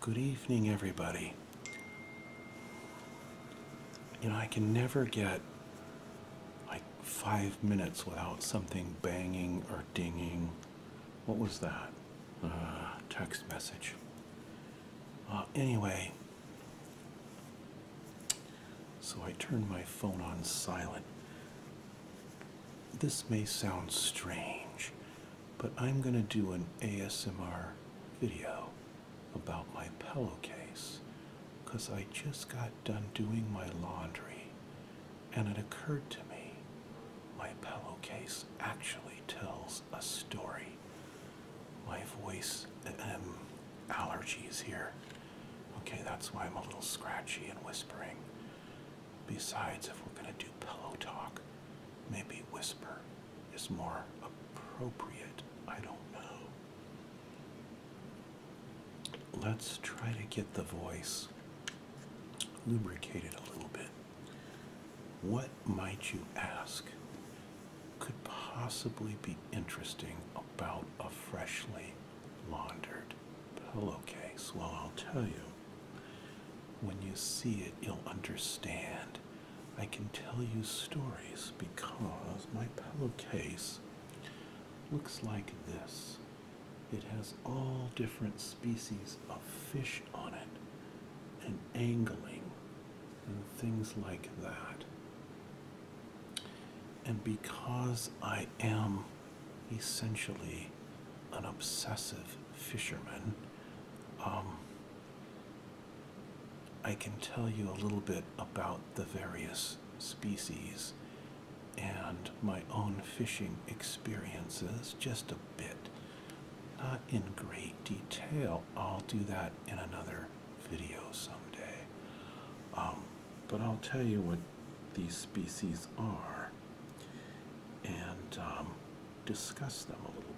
Good evening, everybody. You know, I can never get like five minutes without something banging or dinging. What was that? Uh, text message. anyway, so I turned my phone on silent. This may sound strange, but I'm going to do an ASMR video about my pillowcase because I just got done doing my laundry and it occurred to me my pillowcase actually tells a story. My voice um, allergies here. Okay, that's why I'm a little scratchy and whispering. Besides, if we're going to do pillow talk, Maybe whisper is more appropriate. I don't know. Let's try to get the voice lubricated a little bit. What might you ask could possibly be interesting about a freshly laundered pillowcase? Well, I'll tell you. When you see it, you'll understand. I can tell you stories because my pillowcase looks like this. It has all different species of fish on it, and angling, and things like that. And because I am essentially an obsessive fisherman, um, I can tell you a little bit about the various species and my own fishing experiences just a bit. Not in great detail. I'll do that in another video someday. Um, but I'll tell you what these species are. And um, discuss them a little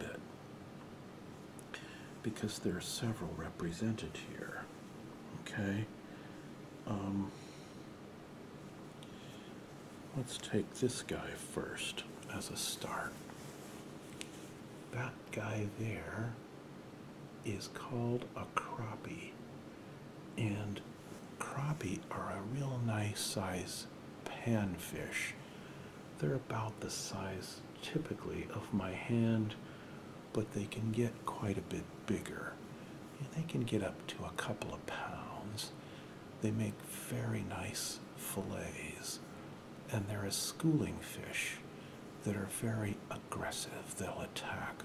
bit because there are several represented here. Okay? Um, let's take this guy first as a start. That guy there is called a crappie. And crappie are a real nice size panfish they're about the size typically of my hand, but they can get quite a bit bigger. They can get up to a couple of pounds. They make very nice fillets, and they're a schooling fish that are very aggressive. They'll attack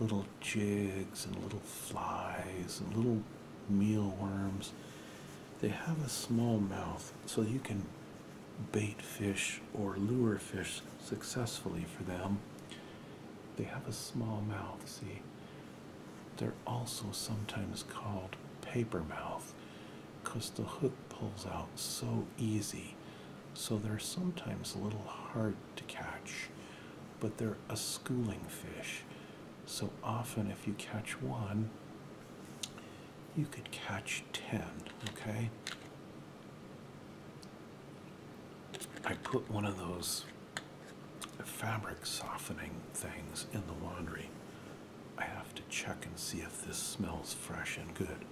little jigs and little flies and little mealworms. They have a small mouth so you can bait fish or lure fish successfully for them. They have a small mouth, see? They're also sometimes called paper mouth because the hook pulls out so easy. So they're sometimes a little hard to catch, but they're a schooling fish. So often, if you catch one, you could catch 10, okay? I put one of those fabric softening things in the laundry. I have to check and see if this smells fresh and good.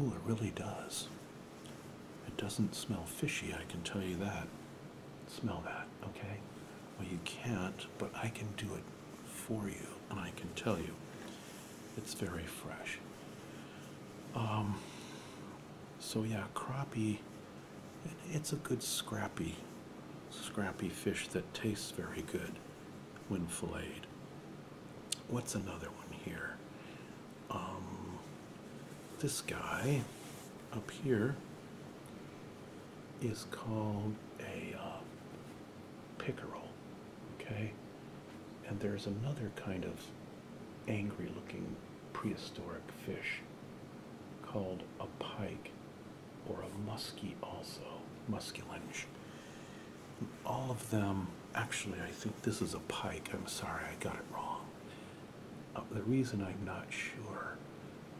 Oh, it really does. It doesn't smell fishy, I can tell you that smell that, okay? Well, you can't, but I can do it for you, and I can tell you it's very fresh. Um, so, yeah, crappie, it's a good scrappy, scrappy fish that tastes very good when filleted. What's another one here? Um, this guy up here is called a uh, pickerel, okay? And there's another kind of angry looking prehistoric fish called a pike or a muskie, also, musculenge. All of them, actually, I think this is a pike. I'm sorry, I got it wrong. Uh, the reason I'm not sure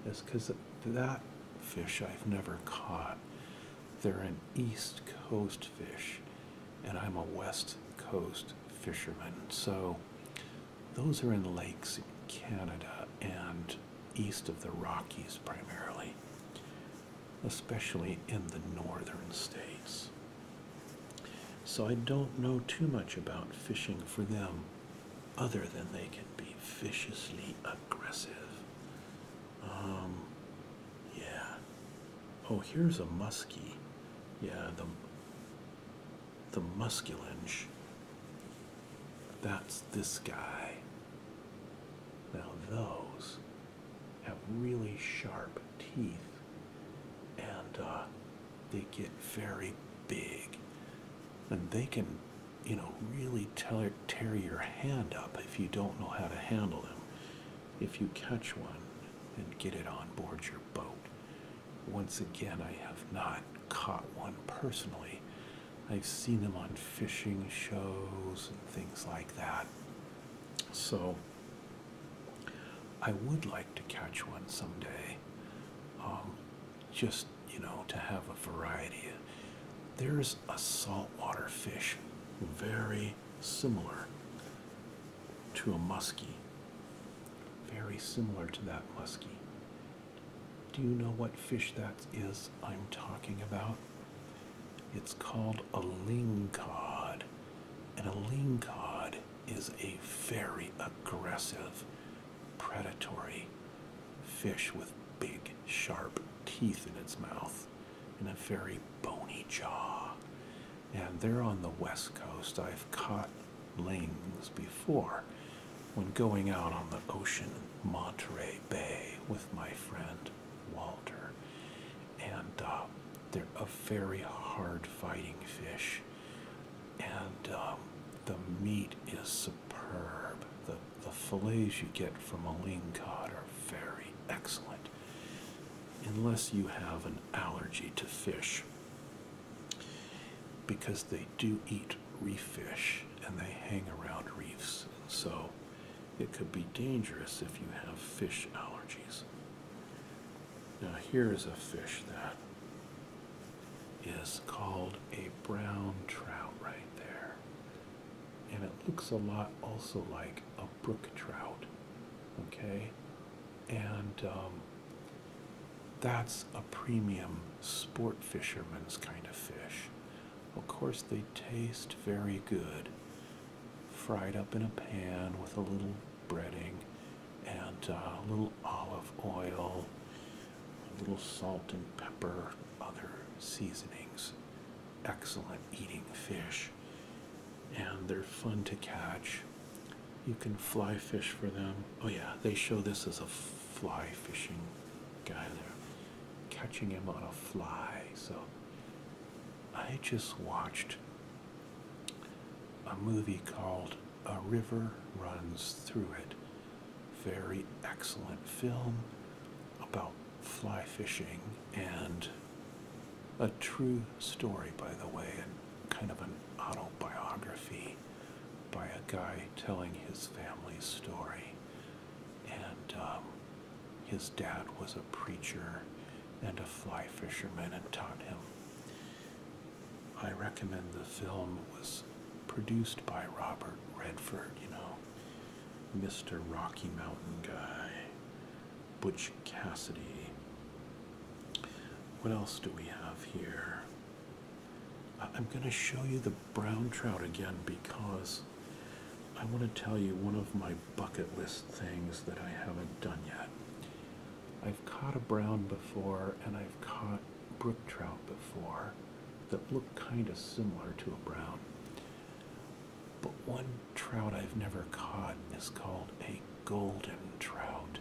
is because that fish I've never caught. They're an East Coast fish, and I'm a West Coast fisherman. So those are in lakes in Canada and east of the Rockies primarily, especially in the northern states. So I don't know too much about fishing for them other than they can be viciously aggressive. Um, yeah. Oh, here's a musky. Yeah, the the musculinge. That's this guy. Now those have really sharp teeth, and uh, they get very big and they can you know really tear, your hand up if you don't know how to handle them if you catch one and get it on board your boat once again i have not caught one personally i've seen them on fishing shows and things like that so i would like to catch one someday um, just you know to have a variety there's a saltwater fish very similar to a muskie very similar to that muskie do you know what fish that is i'm talking about it's called a lingcod and a lingcod is a very aggressive predatory fish with big, sharp teeth in its mouth and a very bony jaw. And they're on the west coast. I've caught lings before when going out on the ocean in Monterey Bay with my friend Walter. And uh, they're a very hard fighting fish and um, the meat is superb. The, the fillets you get from a lean cod are very excellent, unless you have an allergy to fish, because they do eat reef fish and they hang around reefs, and so it could be dangerous if you have fish allergies. Now, here is a fish that is called a brown trout right there. And it looks a lot also like a brook trout. Okay? And um, that's a premium sport fisherman's kind of fish. Of course, they taste very good, fried up in a pan with a little breading and uh, a little olive oil a little salt and pepper, other seasonings. Excellent eating fish, and they're fun to catch. You can fly fish for them. Oh, yeah, they show this as a fly fishing guy there, catching him on a fly. So I just watched a movie called a river runs through it. Very excellent film about fly fishing and a true story, by the way, and kind of an autobiography by a guy telling his family's story. And um, his dad was a preacher and a fly fisherman and taught him I recommend the film was produced by Robert Redford, you know, Mr. Rocky Mountain guy, Butch Cassidy. What else do we have here? I'm going to show you the brown trout again because I want to tell you one of my bucket list things that I haven't done yet. I've caught a brown before and I've caught brook trout before that look kind of similar to a brown. But one trout I've never caught is called a golden trout.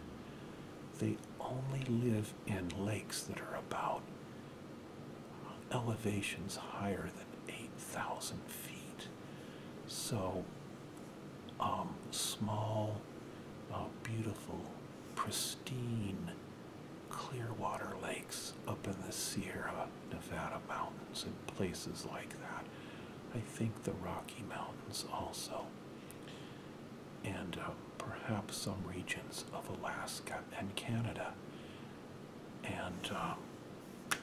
They only live in lakes that are about elevations higher than 8,000 feet. So um, small, uh, beautiful pristine, clear water lakes up in the Sierra Nevada mountains and places like that. I think the Rocky Mountains also, and uh, perhaps some regions of Alaska and Canada. And um,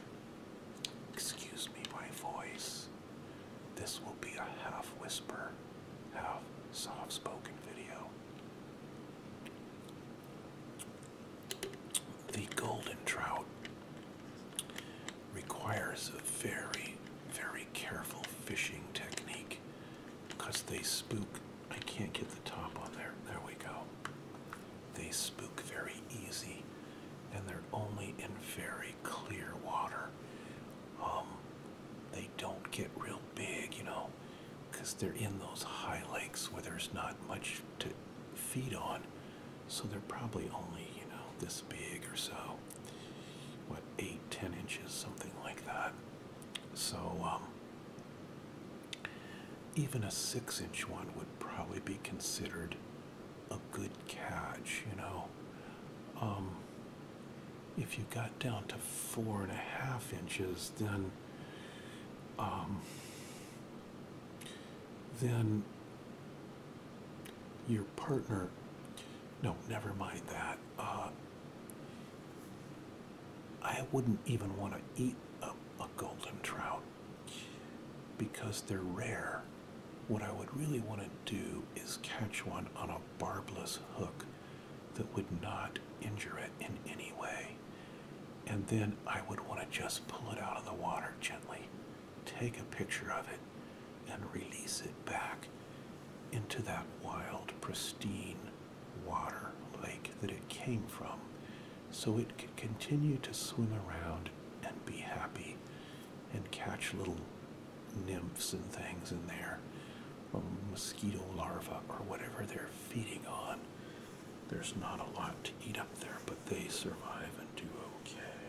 excuse me, my voice. This will be a half whisper how soft spoken video. The golden trout requires a very, very careful fishing technique because they spook. I can't get the top on there. There we go. They spook very easy and they're only in very clear water um, they don't get real big, you know, because they're in those high lakes where there's not much to feed on. So they're probably only, you know, this big or so. What, eight, ten inches, something like that. So, um, even a six inch one would probably be considered a good catch, you know. Um, if you got down to four and a half inches, then um, then your partner. No, never mind that. Uh, I wouldn't even want to eat a golden trout because they're rare. What I would really want to do is catch one on a barbless hook that would not injure it in any way. And then I would want to just pull it out of the water gently, take a picture of it, and release it back into that wild, pristine water lake that it came from so it could continue to swim around and be happy and catch little nymphs and things in there, mosquito larvae or whatever they're feeding on. There's not a lot to eat up there, but they survive and do okay.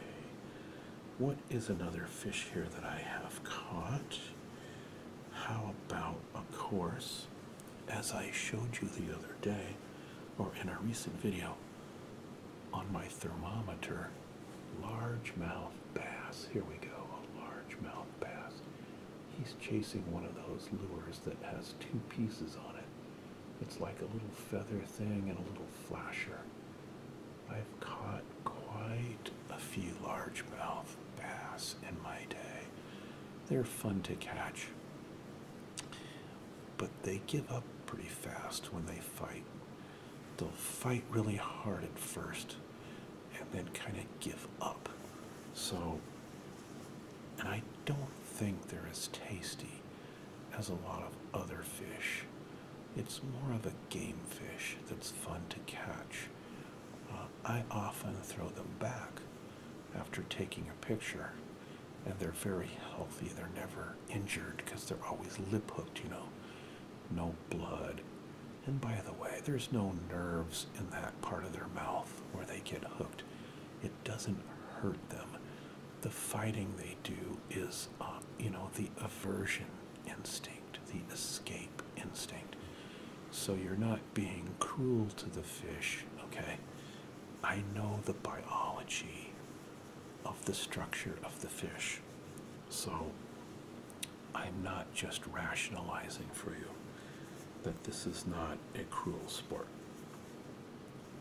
What is another fish here that I have caught? How about, of course, as I showed you the other day, or in a recent video, on my thermometer, Large mouth bass. Here we go, a large mouth bass. He's chasing one of those lures that has two pieces on it. It's like a little feather thing and a little flasher. I've caught quite a few large mouth bass in my day. They're fun to catch, but they give up pretty fast when they fight They'll fight really hard at first and then kind of give up. So, and I don't think they're as tasty as a lot of other fish. It's more of a game fish that's fun to catch. Uh, I often throw them back after taking a picture, and they're very healthy. They're never injured because they're always lip hooked, you know. No blood, and by the way, there's no nerves in that part of their mouth where they get hooked. It doesn't hurt them. The fighting they do is, uh, you know, the aversion instinct, the escape instinct. So you're not being cruel to the fish, okay? I know the biology of the structure of the fish. So I'm not just rationalizing for you that this is not a cruel sport.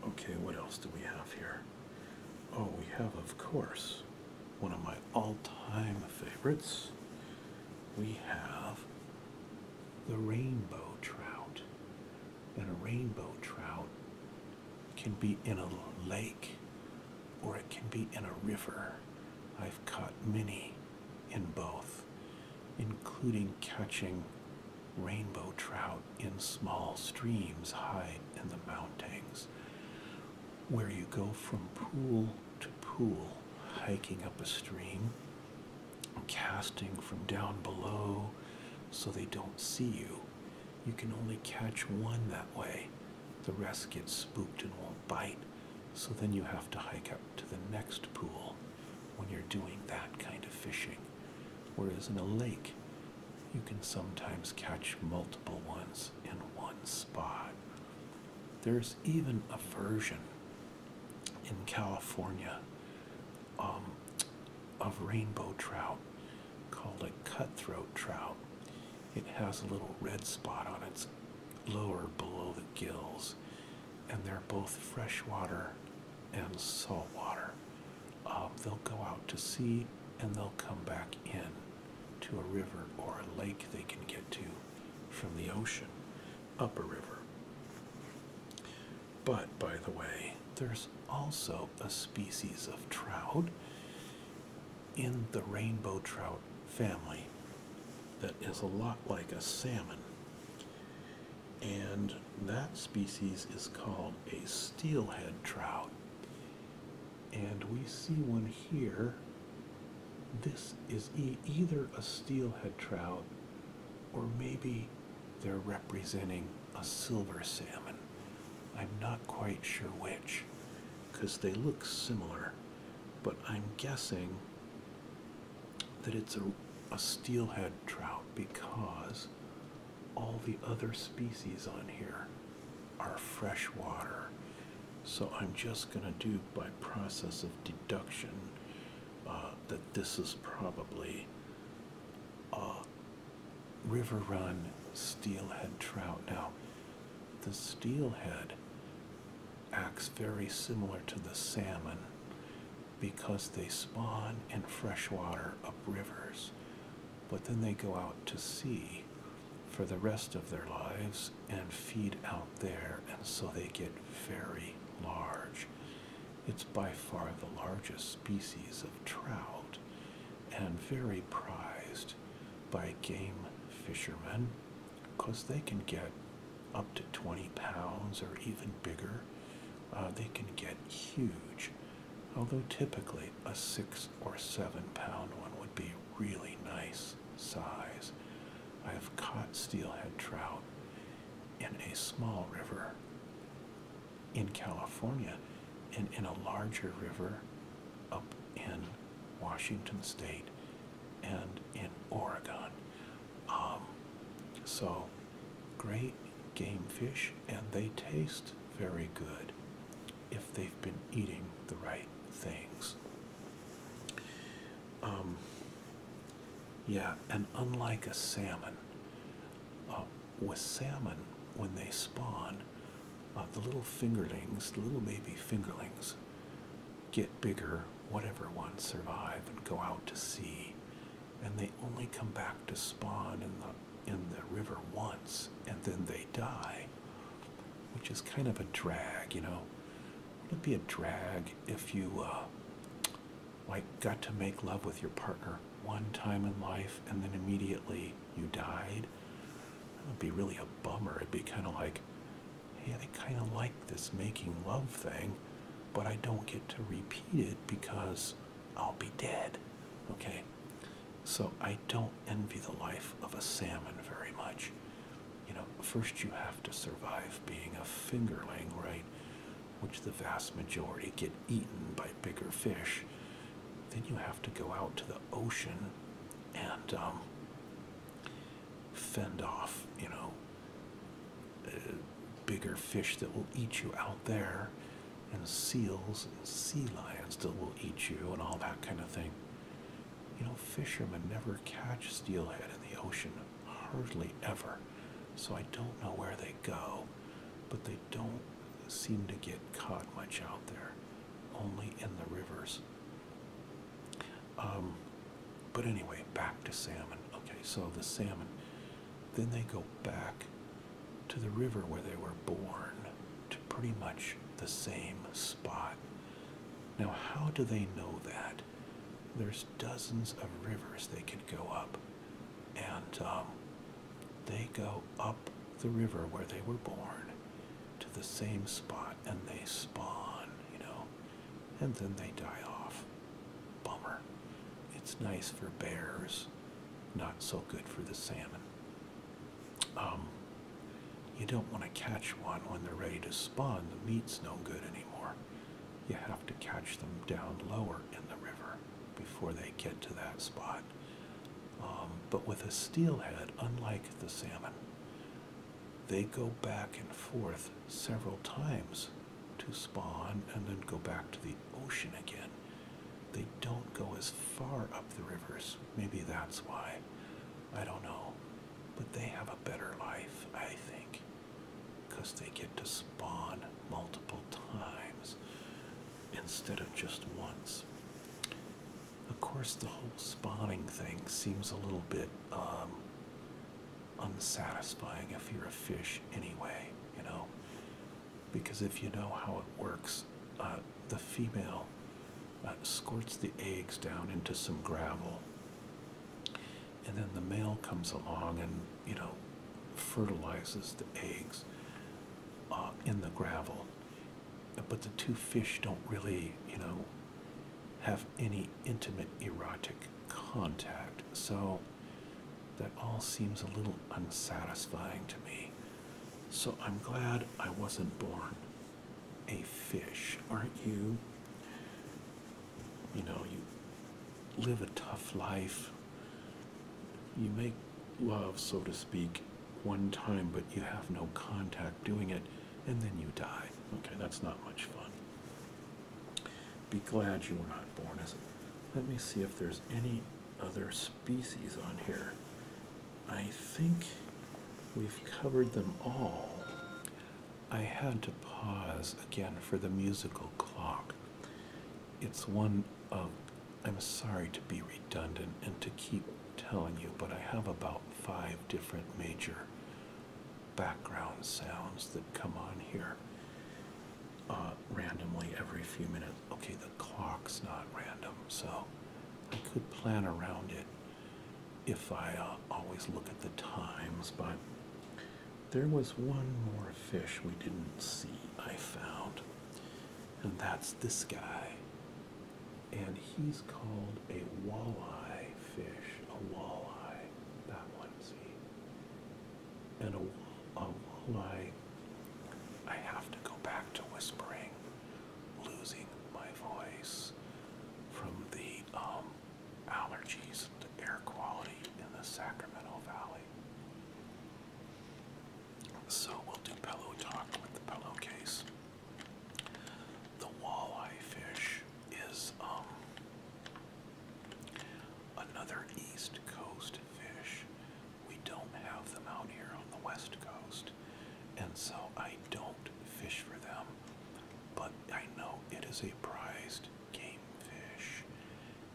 Okay, what else do we have here? Oh, we have, of course, one of my all time favorites. We have the rainbow trout. And a rainbow trout can be in a lake or it can be in a river. I've caught many in both, including catching rainbow trout in small streams high in the mountains, where you go from pool to pool, hiking up a stream, casting from down below so they don't see you. You can only catch one that way. The rest get spooked and won't bite, so then you have to hike up to the next pool when you're doing that kind of fishing. Whereas in a lake, you can sometimes catch multiple ones in one spot. There's even a version in California um, of rainbow trout called a cutthroat trout. It has a little red spot on its lower below the gills, and they're both freshwater and saltwater. Um, they'll go out to sea and they'll come back in to a river or a lake they can get to from the ocean up a river. But by the way, there's also a species of trout in the rainbow trout family that is a lot like a salmon. And that species is called a steelhead trout. And we see one here. This is either a steelhead trout or maybe they're representing a silver salmon. I'm not quite sure which because they look similar but I'm guessing that it's a, steelhead trout because all the other species on here are freshwater. So I'm just going to do by process of deduction uh, that this is probably a river run steelhead trout. Now, the steelhead acts very similar to the salmon because they spawn in freshwater up rivers, but then they go out to sea for the rest of their lives and feed out there, and so they get very large. It's by far the largest species of trout and very prized by game fishermen because they can get up to 20 pounds or even bigger. Uh, they can get huge, although typically a six or seven pound one would be really nice size. I have caught steelhead trout in a small river in California and in a larger river up in Washington State, and in Oregon. Um, so great game fish, and they taste very good if they've been eating the right things. Um, yeah, and unlike a salmon, uh, with salmon, when they spawn, uh, the little fingerlings, the little baby fingerlings, get bigger, whatever ones survive and go out to sea, and they only come back to spawn in the in the river once, and then they die, which is kind of a drag, you know. Would not it be a drag if you uh, like got to make love with your partner one time in life and then immediately you died. That would be really a bummer. It'd be kind of like, hey, I kind of like this making love thing, but I don't get to repeat it because I'll be dead. Okay? So I don't envy the life of a salmon very much. You know, first you have to survive being a fingerling, right? Which the vast majority get eaten by bigger fish. Then you have to go out to the ocean and um, fend off, you know, uh, bigger fish that will eat you out there, and seals and sea lions that will eat you, and all that kind of thing. You know, fishermen never catch steelhead in the ocean, hardly ever. So I don't know where they go, but they don't seem to get caught much out there only in the rivers. Um, but anyway, back to salmon. Okay, so the salmon. Then they go back to the river where they were born, to pretty much the same spot. Now, how do they know that? There's dozens of rivers they could go up, and um, they go up the river where they were born, to the same spot and they spawn, you know, and then they die off. Bummer. It's nice for bears, not so good for the salmon. Um, you don't want to catch one when they're ready to spawn. The meat's no good anymore. You have to catch them down lower in the river before they get to that spot. Um, but with a steelhead, unlike the salmon, they go back and forth several times to spawn and then go back to the ocean again. They don't go as far up the rivers. Maybe that's why. I don't know. But they have a better life, I think, because they get to spawn multiple times instead of just once. Of course, the whole spawning thing seems a little bit um, unsatisfying if you're a fish, anyway, you know. Because if you know how it works, uh, the female uh, squirts the eggs down into some gravel, and then the male comes along and, you know, fertilizes the eggs uh, in the gravel but the two fish don't really, you know, have any intimate erotic contact. So that all seems a little unsatisfying to me. So I'm glad I wasn't born a fish, aren't you? You know, you live a tough life. You make love, so to speak, one time, but you have no contact doing it, and then you die. Okay, that's not much fun. Be glad you were not born as. Let me see if there's any other species on here. I think we've covered them all. I had to pause again for the musical clock. It's one of I'm sorry to be redundant and to keep telling you, but I have about five different major background sounds that come on here uh, randomly every few minutes. Okay, the clock's not random, so I could plan around it if I uh, always look at the times, but there was one more fish we didn't see, I found, and that's this guy and he's called a walleye fish, a walleye, that one, see? And a, a walleye, I have to go back to whispering, losing my voice from the um, allergies to air quality in the Sacramento Valley. So we'll do pillow talk with the pillowcase. The walleye fish is um, another East Coast fish. We don't have them out here on the West Coast, and so I don't fish for them. But I know it is a prized game fish,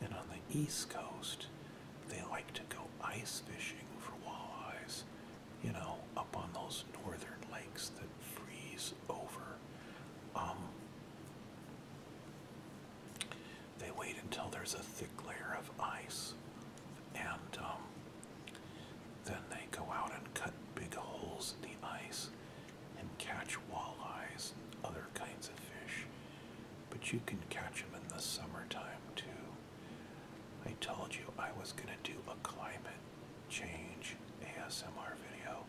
and on the East Coast, they like to go ice fishing for walleyes, you know, up on those northern lakes that freeze over. Um, they wait until there's a thick layer of ice, and um, then they go out and cut big holes in the ice and catch walleyes and other kinds of fish. But you can catch them in the summertime too. I told you I was going to do a climate change ASMR video.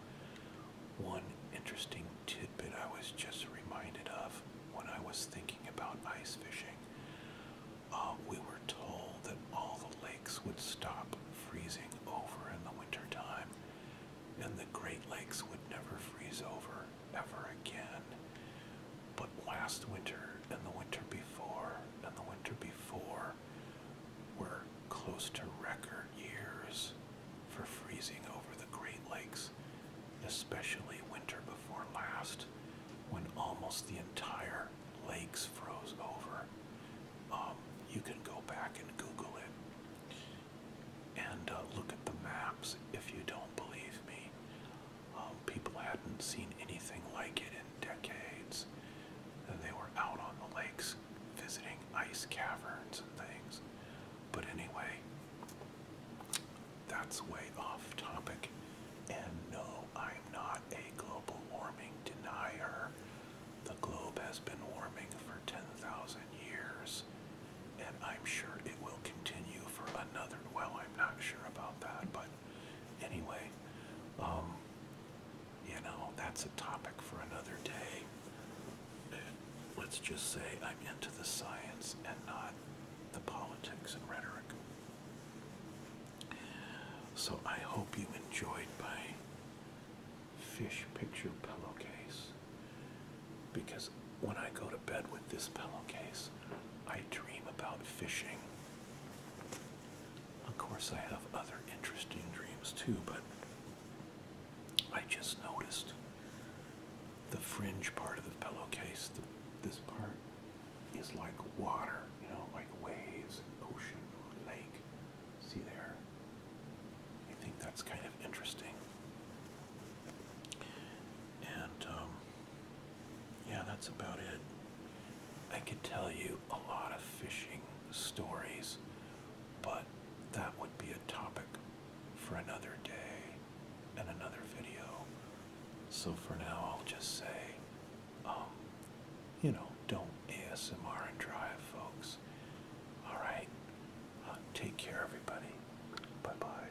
One interesting tidbit I was just reminded of when I was thinking about ice fishing. Uh, we were told that all the lakes would stop freezing over in the wintertime and the Great Lakes would never freeze over ever again. But last winter and the winter before and the winter before were close to record years for freezing over the Great Lakes, especially winter before last, when almost the entire lakes froze over. Um, you can go back and Google it and uh, look at the maps if you don't believe me. Um, people hadn't seen anything like it in decades. And they were out on the lakes visiting ice caverns and things. But anyway, that's way off topic. And no, I'm not a global warming denier. The globe has been warming for 10,000 years, and I'm sure it will continue for another. Well, I'm not sure about that, but anyway um, you know that's a topic for another day uh, let's just say i'm into the science and not the politics and rhetoric so i hope you enjoyed my fish picture pillowcase because when i go to bed with this pillowcase i dream about fishing of course, I have other interesting dreams too, but I just noticed the fringe part of the pillowcase, this part is like water, you know, like waves, ocean, or lake. See there? I think that's kind of interesting. And um, yeah, that's about it. I could tell you a lot of fishing stories, but that would be a topic for another day and another video. So for now, I'll just say, um, you know, don't ASMR and drive, folks. All right. Uh, take care, everybody. Bye bye.